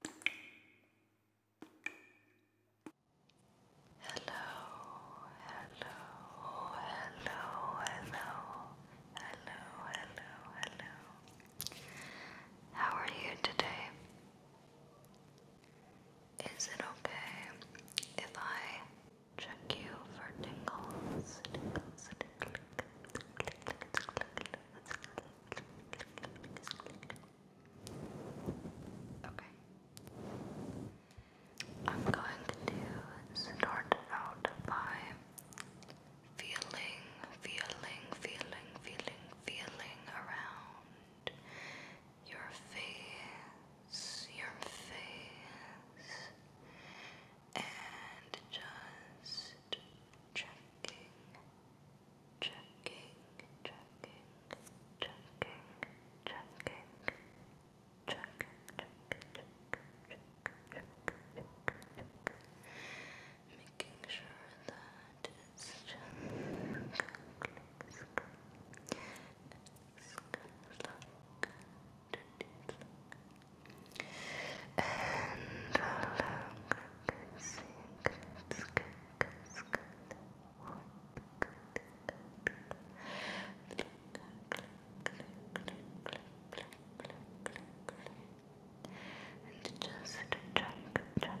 hello, hello, hello, hello, hello, hello. How are you today? Is it okay if I check you for tingles? Okay. I'm going to start out by feeling, feeling, feeling, feeling, feeling around your face, your face, and just checking checking, checking, checking, checking, checking, checking, checking, checking, checking, making sure that it's just and look, it's good, it's good, Good, good, good, good. And just check, check, check, check.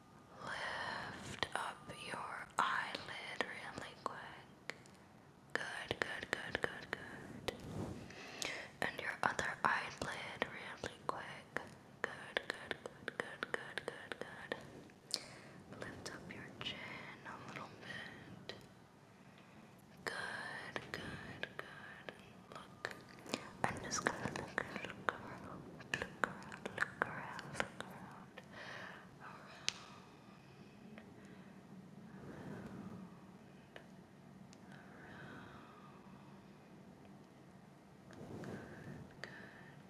Lift up your eyelid really quick. Good, good, good, good, good. And your other eyelid really quick. Good, good, good, good, good, good, good. Lift up your chin a little bit. Good, good, good. Look. I'm just gonna look, look around, look around, look around, look around good,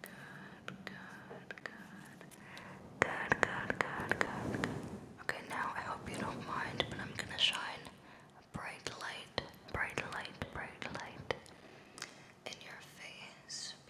good, good, good. Okay, now I hope you don't mind, but I'm gonna shine a bright light, bright light, bright light in your face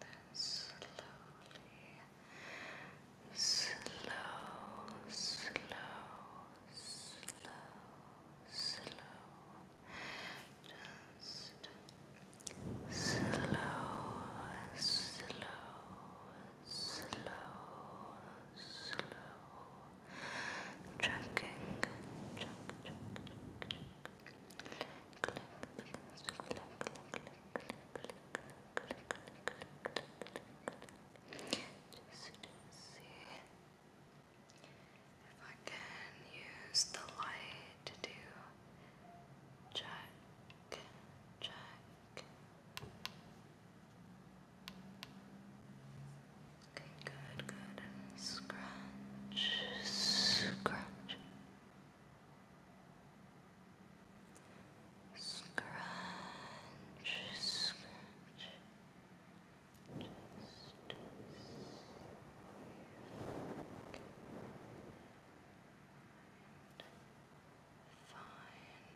then slowly, slow, slow, slow, slow, just slow, slow, slow, slow. Tracking, track, Just to see if I can use the light to do check, check. Okay, good, good. scratch, scratch, scratch, scratch. Just. Find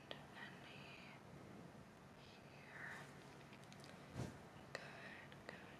any here. Good, good,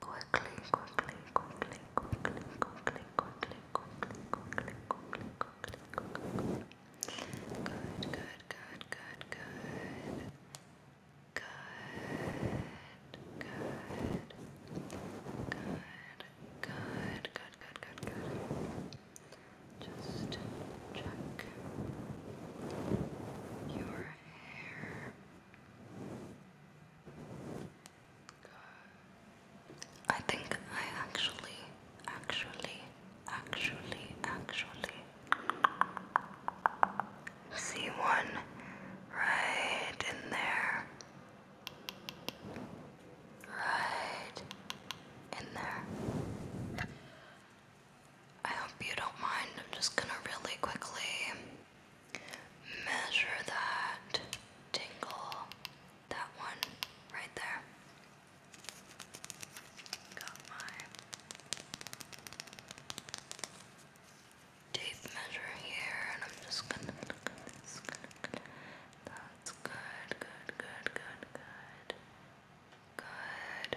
Quickly, quickly, quickly, quickly, quickly, quickly, quickly, quickly, quickly, quickly, quickly. Good, good, good, good, good. Good, good, good, good, good, good, good, good. Just check your hair. I think I actually, actually, actually, actually see one right in there. Right in there. I hope you don't mind. I'm just gonna really quickly measure that tingle, that one right there. Got my tape measure here, and I'm just gonna look at this. That's good, good, good, good, good. Good.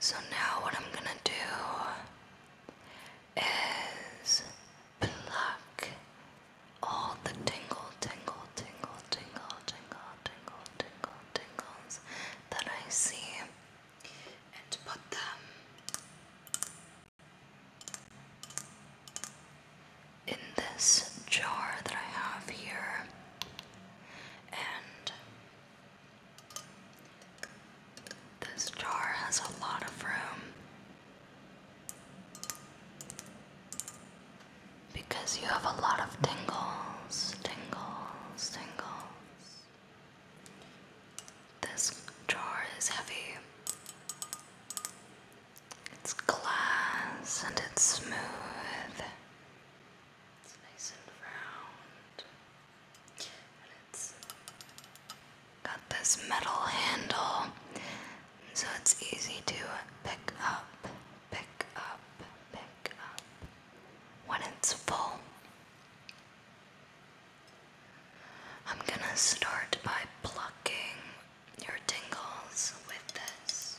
So now what I'm gonna do is pluck all the tingle, tingle, tingle, tingle, tingle, tingle, tingle, tingles that I see and put them in this jar that I have here and this jar has a lot of room because you have a lot of tingles, tingles, tingles. This jar is heavy. It's glass and it's smooth. It's nice and round. And it's got this metal handle, so it's easy to pick up, pick up, pick up when it's full. I'm gonna start by plucking your tingles with this.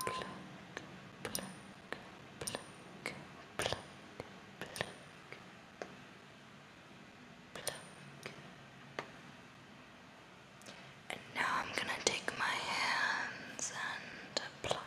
pluck, pluck, pluck, pluck, pluck. Pluck. And now I'm going to take my hands and pluck, pluck,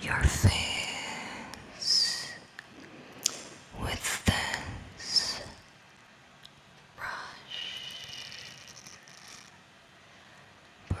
your face with this brush, brush.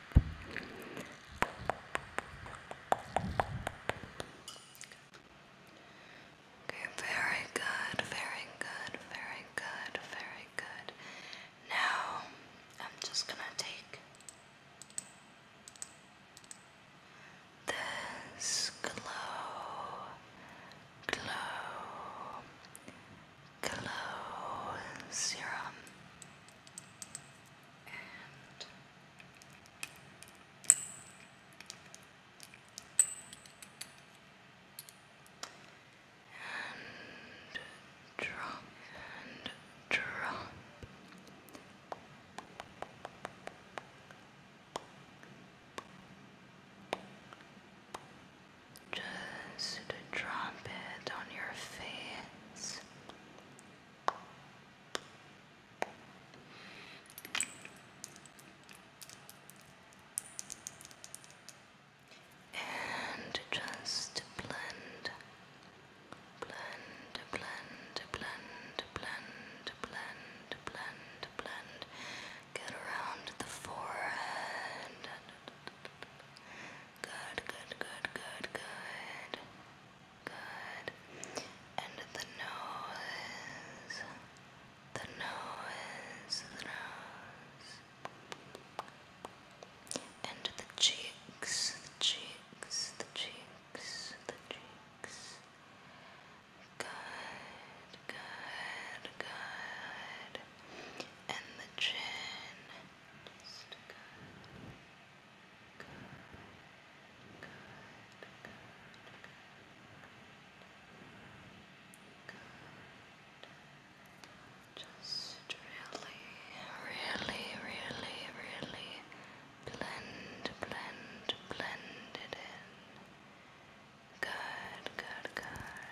Okay, very good, very good, very good, very good. Now, I'm just gonna take this glow, glow, Glow Serum. And and drop and drop. Just drop it on your face. And just blend, blend, blend, blend, blend, blend, blend, blend. Get around the forehead. Good, good, good, good, good. Good. And the nose. The nose. The nose. And the cheeks. The cheeks. The cheeks. The cheeks. Good, good, good. And the chin. Just good. Good. Good. Good. Good. Good. Just really, really, really, really blend, blend, blend it in. Good, good, good.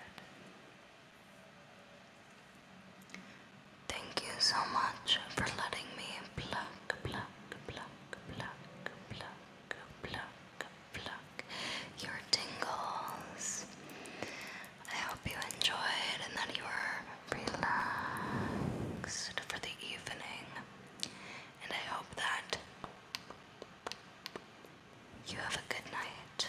Thank you so much for letting me plug, pluck, pluck, pluck, pluck, pluck, pluck your tingles. I hope you enjoyed and that you were relaxed for the evening. And I hope that you have a good night.